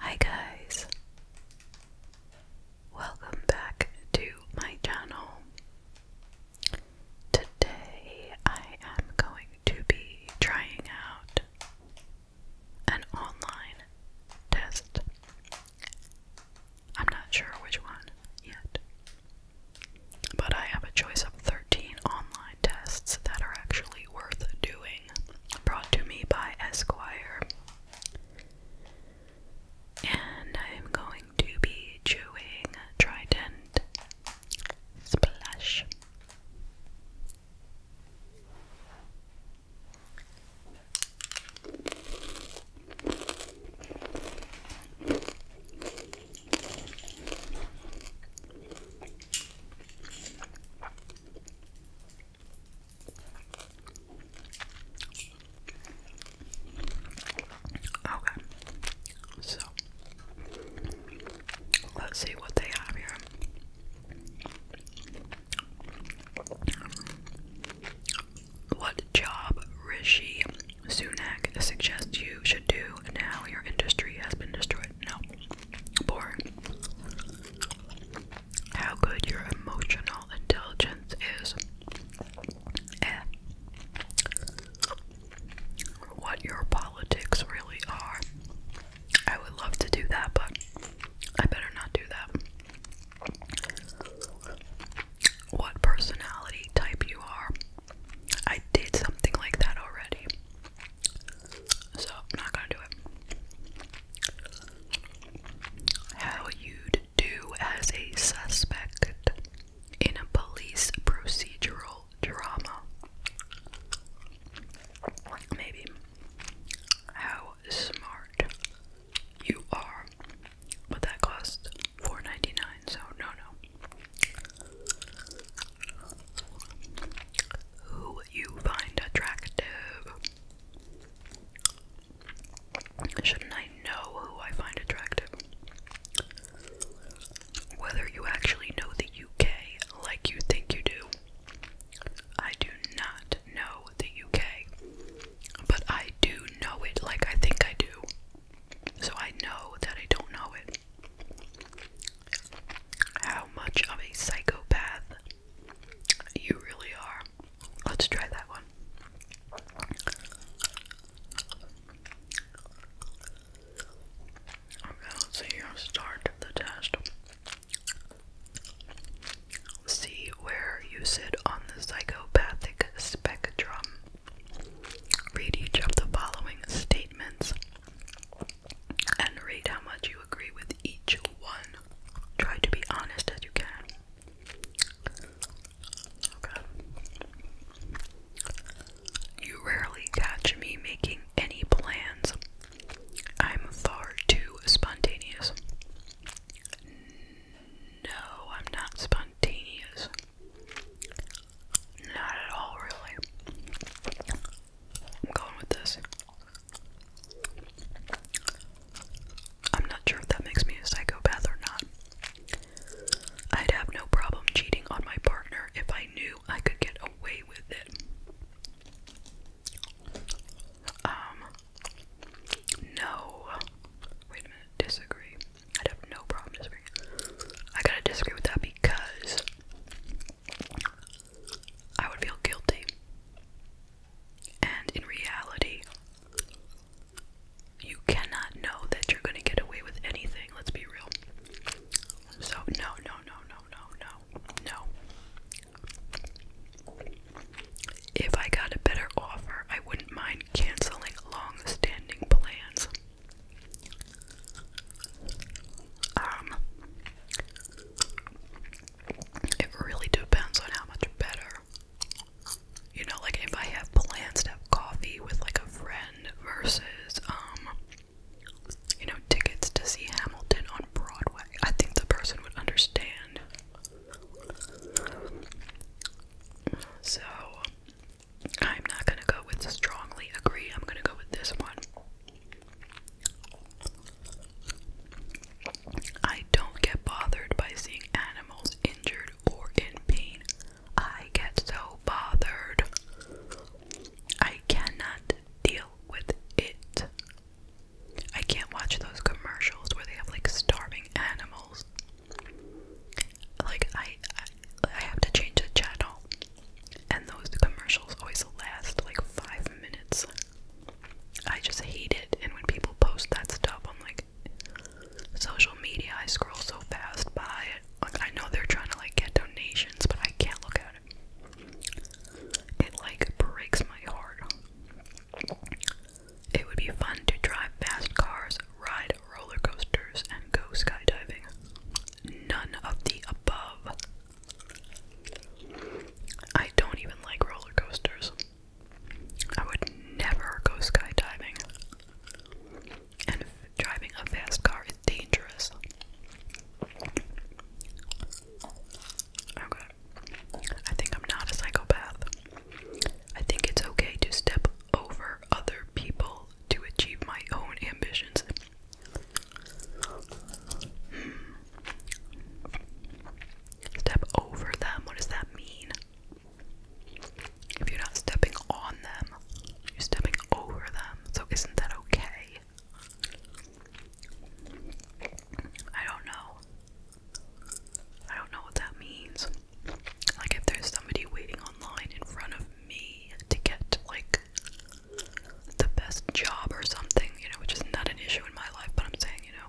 Hi guys! Welcome back to my channel. Today I am going to be trying out an online test. I'm not sure which one yet, but I have a choice of 13 online tests that are actually worth doing brought to me by Esquire. And I am going to be chewing Trident Splash. Okay, so let's see what they have here. What job Rishi Sunak suggests you should do now your industry has been destroyed? No. Boring. How good your emotional intelligence is. What your politics really are. I would love to do that, but I better not do that. What personality type you are. I did something like that already. So I'm not gonna do it. How you'd do as a suspect in a police procedural drama. Maybe how smart you are, but that cost four ninety nine, so no no. Who you find attractive? Shouldn't I know who I find attractive? Whether you actually know the UK like you think you do. I do not know the UK, but I do know it like I think I do. So I know that I don't know it. How much of a psychopath you really are. Let's try that one. Okay, let's see here. Start the test. See where you sit on the psychopathic spectrum. Read each of the following statements and rate how much you agree with each one. Try to be honest as you can. Okay. You rarely catch me making any plans. I'm far too spontaneous. No, I'm not spontaneous. Not at all, really. I'm going with this. I'm not sure if that makes me a psychopath or not. I'd have no problem cheating on my partner if I knew I could get away with it. Um, no. Wait a minute, disagree. I'd have no problem disagreeing. I gotta disagree with that because I would feel guilty. And in reality, you cannot know that you're going to get away with anything. Let's be real. So, no, no, no, no, no, no, no. If I got a better offer, I wouldn't mind canceling long standing plans. Um, it really depends on how much better. You know, like if I have plans to have coffee with like a friend versus, um, you know, tickets to see Hamilton on Broadway, I think the person would understand. So, I'm not gonna go with strongly agree, I'm gonna go with this one. I don't get bothered by seeing animals injured or in pain. I get so bothered. I cannot deal with it. I can't watch those commercials where they have like starving animals. Like I I, I have to change the channel. And those commercials always last like 5 minutes. I just hate it. And when people post that stuff I'm like social media, I scroll so fast by it. Like I know they're trying to like get donations, but I can't look at it. It like breaks my heart. It would be fun to drive fast cars, ride roller coasters, and go skydiving. None of the above. I don't even like roller coasters. I would never go skydiving. And driving a fast car is dangerous. Okay. I think I'm not a psychopath. I think it's okay to step over other people to achieve my own ambitions. Hmm. Step over them. What does that mean? If you're not stepping on them, you're stepping over them. So isn't that okay? I don't know. I don't know what that means. Like if there's somebody waiting online in front of me to get like the best job or something, you know, which is not an issue in my life, but I'm saying, you know,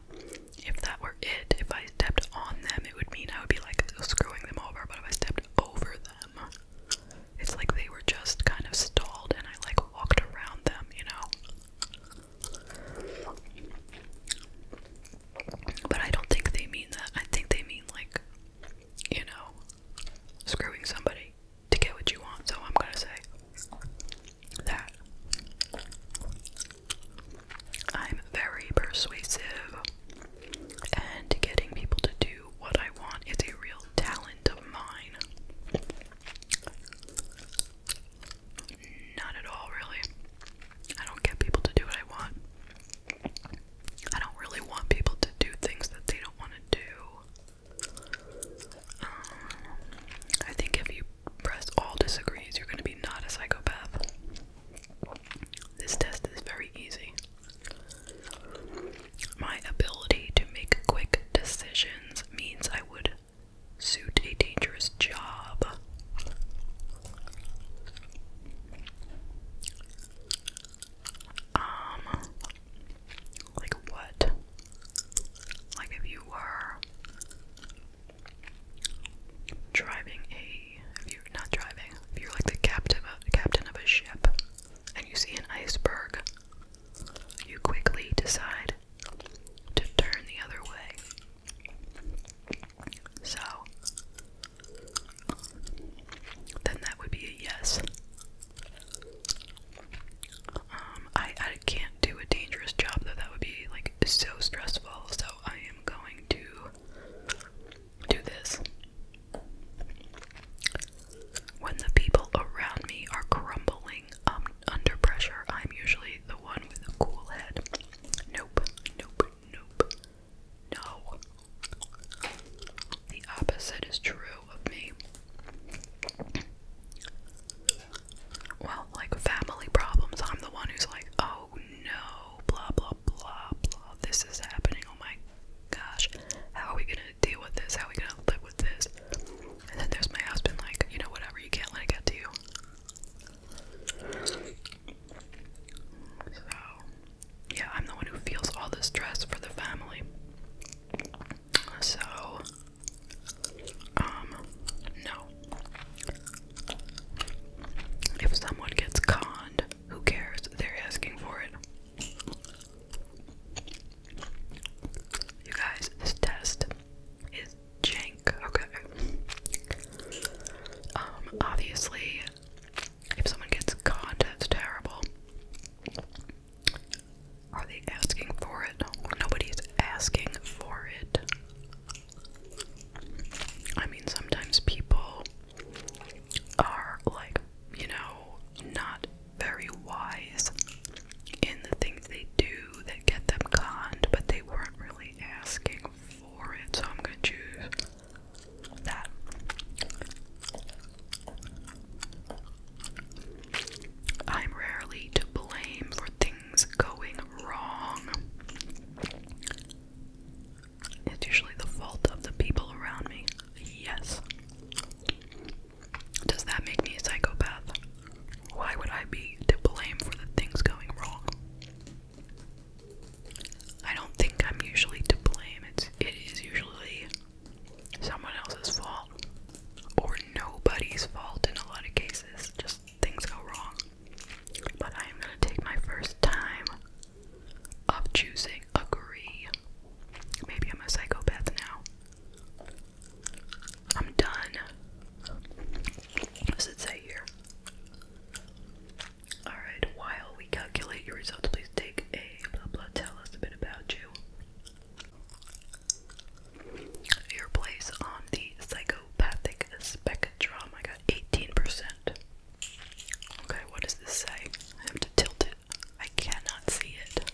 if that were it, if I stepped on them, it would mean I would be like screwing them over, but if I stepped over them, it's like they were just kind of stalled and I like walked around them, you know? But I don't think they mean that. I think they mean like, you know, screwing somebody to get what you want, so I'm gonna say that I'm very persuasive, and getting people to do what I want is a real talent of mine. Not at all, really. I don't get people to do what I want. I don't really want people to do things that they don't want to do. Um, I think if you press all disagrees, you're going to be not a psychopath. This test is very easy. My ability to make quick decisions means I would suit a dangerous job. Um, like what? Like if you were driving a if you're not driving, if you're like the captain of, captain of a ship and you see an iceberg, you quickly decide to turn the other way. So then that would be a yes. Um, I, I can't do a dangerous job though, that would be like so stressful, so I am going to do this. When the people around me are crumbling um, under pressure, I'm usually the one with a cool head. Nope, nope, nope, no. The opposite is true of me well, like family problems. I'm the one who's like, oh no, blah blah blah blah. This is happening. Oh my gosh, how are we gonna deal with this? How are we gonna live with this? And then there's my husband, like, you know, whatever. You can't let it get to you. So, yeah, I'm the one who feels all the stress for the family. So, um, no. If someone gets conned, who cares? They're asking for it. You guys, this test is jank. Okay. Um, obviously, if someone gets conned, that's terrible. Are they asking for it? Nobody's asking for it. I mean, sometimes people are like, you know, not very wise in the things they do that get them conned, but they weren't really asking for it, so I'm gonna choose that. I'm rarely to blame for things things going wrong, it's usually the fault of the people around me. Yes. Does that make me a psychopath? Why would I be to blame for the things going wrong? I don't think I'm usually to blame. It's it is usually someone else's fault or nobody's fault in a lot of cases. Just things go wrong. But I am gonna take my first time of choosing agree. Maybe I'm a psychopath now. I'm done. What does it say here? Alright, while we calculate your results, please take a blah blah tell us a bit about you. Your place on the psycho psychopathic spectrum. I got 18%. Okay, what does this say? I have to tilt it. I cannot see it.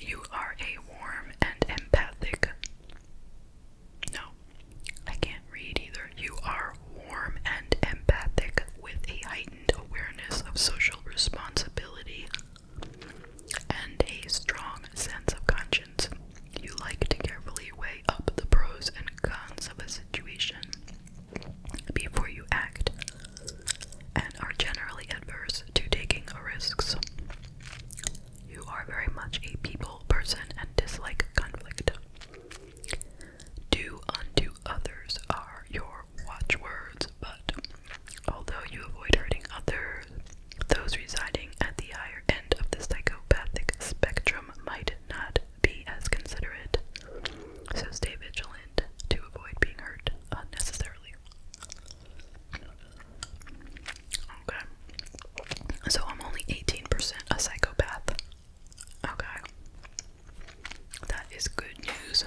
You are a warm and empathic. No, I can't read either. You are warm and empathic with a heightened awareness of social responsibility and a strong sense of conscience. You like to carefully weigh up the pros and cons of a situation before you act and are generally adverse to taking risks. You are very much a people person and dislike conflict. Do unto others are your your watchwords, but although you avoid hurting others, those residing at the higher end of the psychopathic spectrum might not be as considerate. So stay vigilant to avoid being hurt unnecessarily. Okay. So I'm only 18% a psychopath. Okay. That is good news.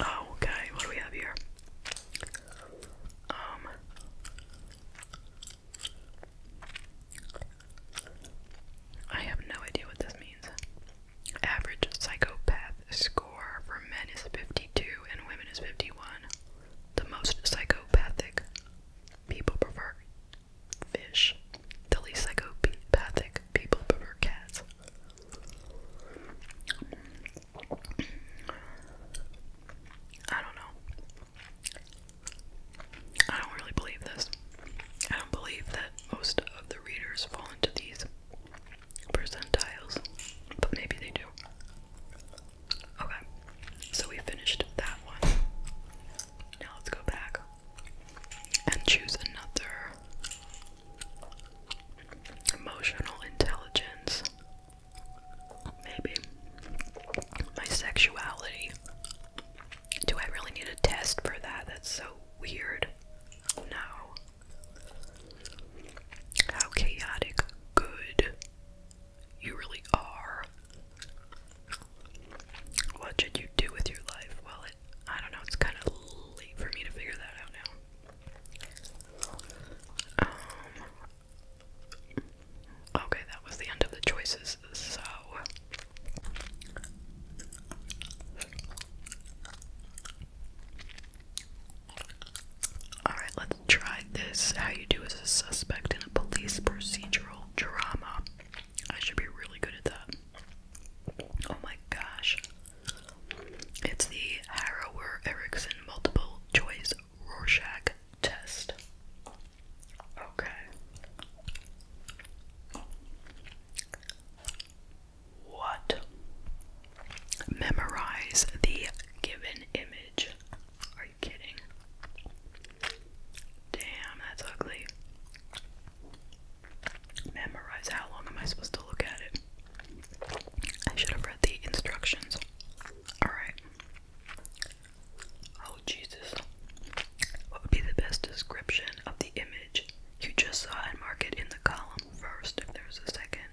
Oh, okay. What do we have here? Um. I have no idea what this means. Average psychopath score for men is 52 and women is 51. The most psychopathic people prefer fish. The least psychopathic people prefer cats. I don't know. I don't really believe this. I don't believe that most of the readers fall into these percentiles, but maybe they do. Okay, so we finished that one. Now let's go back and choose another emotional intelligence. Maybe my sexuality. Do I really need a test for that? That's so weird. No. How chaotic good you really are. What should you do with your life? Well, I don't know, it's kind of late for me to figure that out now. Um, okay, that was the end of the choices, so. Alright, let's try this. How you do as a suspect in a police procedural drama. I should be really good at that. Oh my gosh. It's the Harrower Erickson multiple choice Rorschach test. Okay. What? Memorize the given image. Are you kidding? Damn, that's ugly memorize how long am I supposed to look at it. I should have read the instructions. Alright. Oh, Jesus. What would be the best description of the image you just saw and mark it in the column first? If there's a second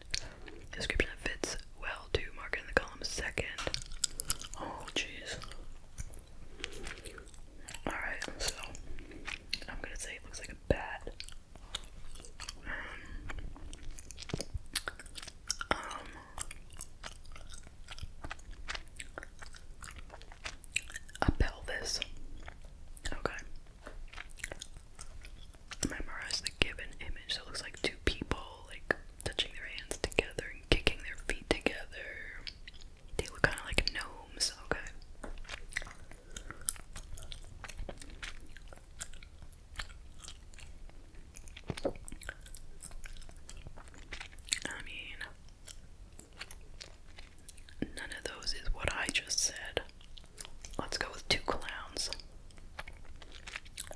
description that fits well to mark it in the column second. Oh, jeez. Alright, so I'm gonna say it looks like a bat. Um, a pelvis. Okay. Memorize the given image. So looks like two people like touching their hands together and kicking their feet together. They were kind of like gnomes. Okay. I mean, none of those is what I just said. Let's go with two clowns.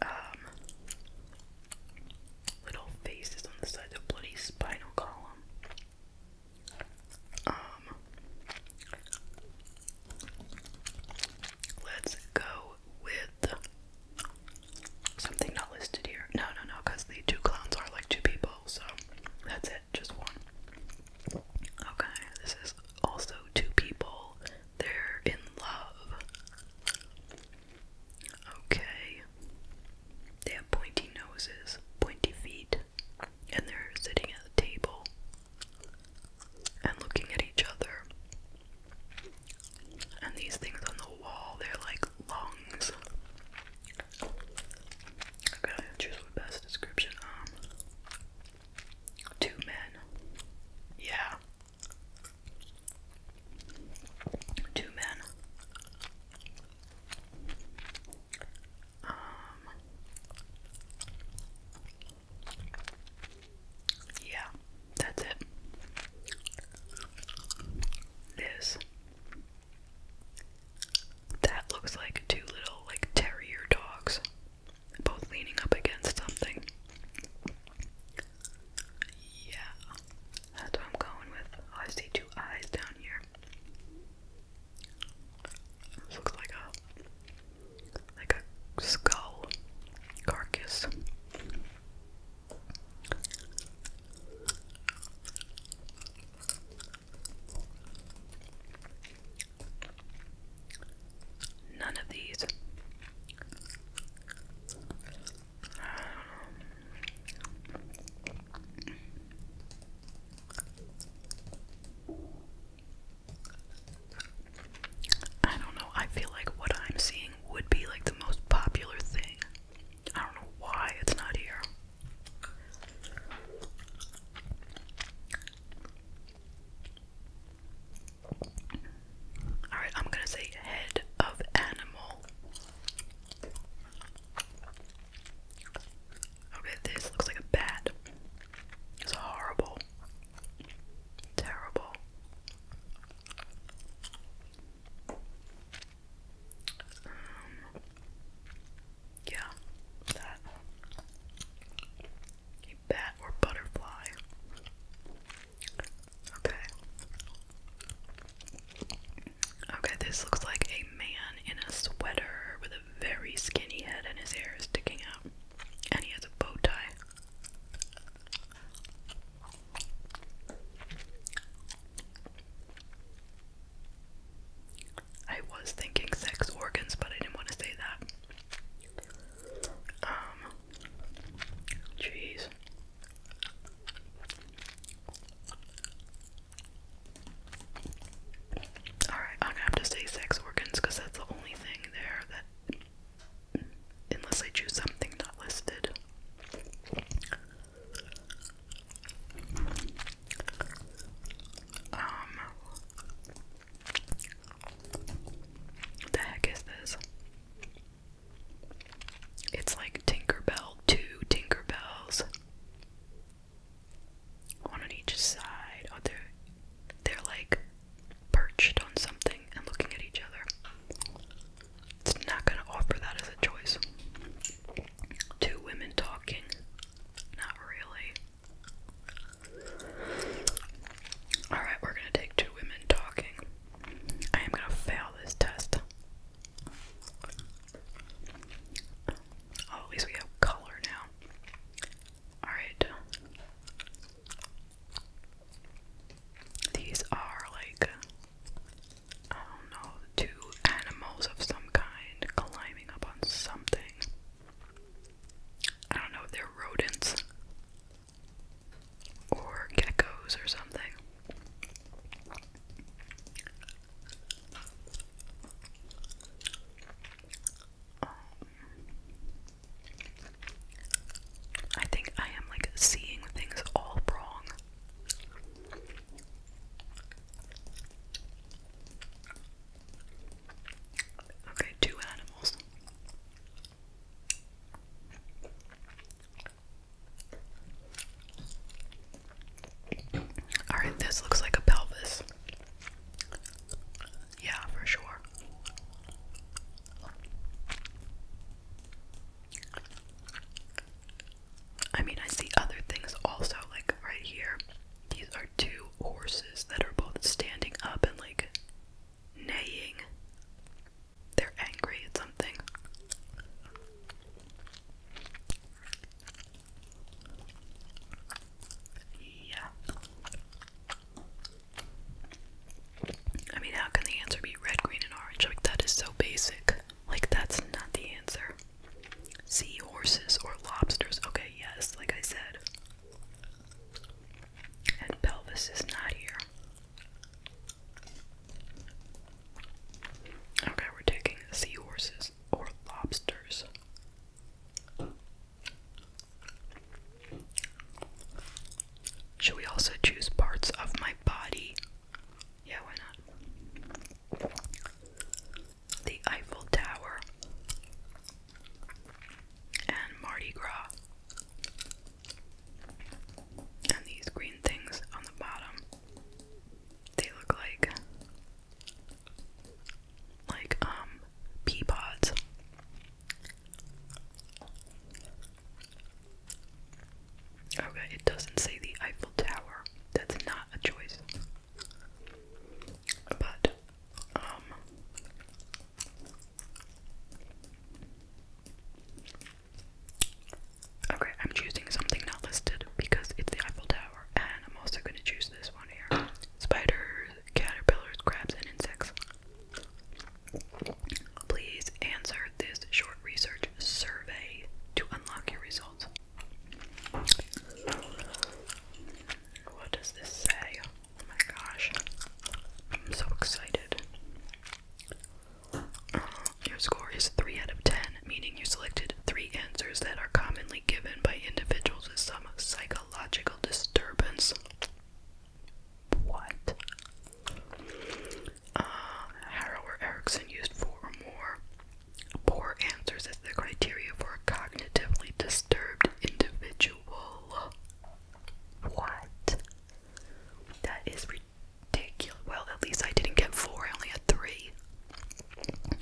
Um, little faces on the side of the bloody spinal column. Um, let's go with something not listed here. No, no, no, because the two clowns are like two people, so that's it, just one. Okay, this is also two people. They're in love. Okay. They have pointy noses, pointy feet, and they're sitting at the table and looking at each other. And these things on the wall, they're like lungs. Okay, choose the best description. Um, two men. Yeah. Two men. Um, yeah, that's it. This. That looks like two little, like, terrier dogs, both leaning up against something. Yeah, that's what I'm going with. Oh, I see two eyes down here looks like a like a skull carcass. None of these. Um, I don't know. I feel like what I'm seeing would be like the most popular thing. I don't know why it's not here. Alright, I'm gonna say head of animal. Okay, this looks like a bat. It's horrible. Terrible. Um, yeah, that. A bat or butterfly. Okay. Okay, this looks like a man in a sweater with a very skinny head and his hair sticking out. And he has a bow tie. I was thinking sex organs, but I didn't want to say that. Um, jeez. Alright, I'm gonna have to say sex organs because that's the only thing there that. Unless I choose something not listed. Um. the heck is this? It's like Tinker Bell 2 Tinker Bells on each side. Oh, they're they're like perched on something and looking at each other. It's not gonna offer that as a choice. Two women talking. Not really. Alright, we're gonna take two women talking. I am gonna fail this test. Oh, at least we have color now. Alright. These are like, I don't know, two animals of some kind climbing up on something. I don't know if they're rodents or geckos or something. Um, I think I am like seeing things all wrong. Okay, two animals. Alright, this looks like a pelvis. Yeah, for sure. I mean, I see other things also, like right here. These are two horses that are both standing up and like neighing. They're angry at something. Yeah. I mean, how can the answer be red, green, and orange? Like, that is so basic. Like, that's not the answer. Seahorses or lobsters. Okay, yes, like I said. And pelvis is not here. Okay, we're taking seahorses or lobsters. Should we also choose parts of my body? Yeah, why not? The Eiffel Tower and Mardi Gras. And these green things on the bottom. They look like like um Okay, it doesn't say the Eiffel Tower. That's not a choice. But um, Okay, I'm choosing something not listed because it's the Eiffel Tower and I'm also going to choose this one here. Spiders, caterpillars, crabs, and insects. Please answer this short research survey to unlock your results. What does this say? Oh my gosh. I'm so excited. Uh, your score is 3 out of 10 meaning you selected three answers that are commonly given by individuals with some psychological disturbance. What? Uh, Erickson used four or more poor answers as the criteria for a cognitively disturbed individual. What? That is ridiculous. Well, at least I didn't get four, I only had three.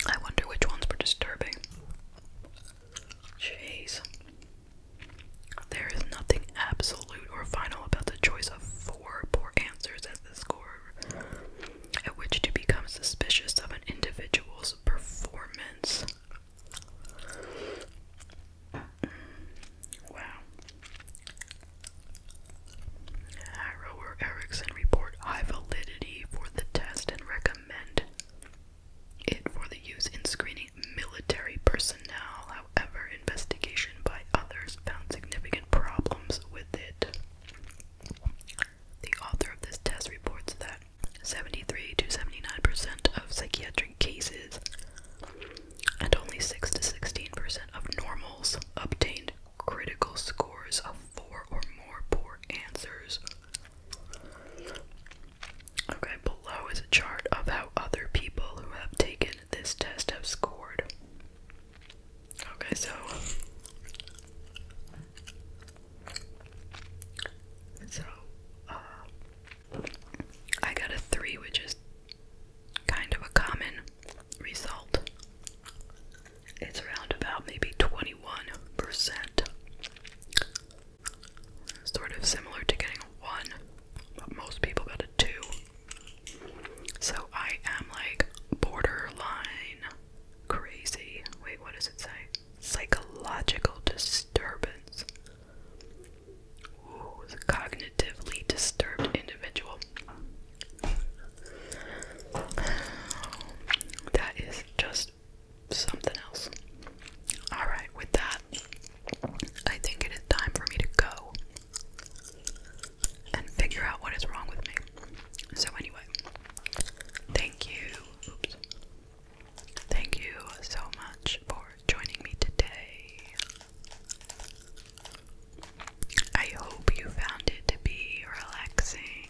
I wonder which ones were disturbing. Jeez. There is nothing absolute or final about the choice of four poor answers as the score at which to become suspicious of an individual's performance. Wow. Harrower Erickson reported high validity for the test and recommend it for the use in screening military personnel. However, investigation by others found significant problems with it. The author of this test reports that 73 to 79% of psychiatric cases and only 6 to 16% of normals obtained critical scores of four or more poor answers. Okay, below is a chart of how other people who have taken this test have scored. Okay, so so uh, I got a three, which is kind of a common result it's around about maybe 21%. Sort of similar to getting a 1, but most people got a 2. So I am like borderline crazy. Wait, what does it say? Psychological disturbance. Ooh, a cognitively disturbed individual. That is just something else. Alright, with that, I think it is time for me to go and figure out what is wrong with me. So, anyway, thank you. Thank you so much for joining me today. I hope you found it to be relaxing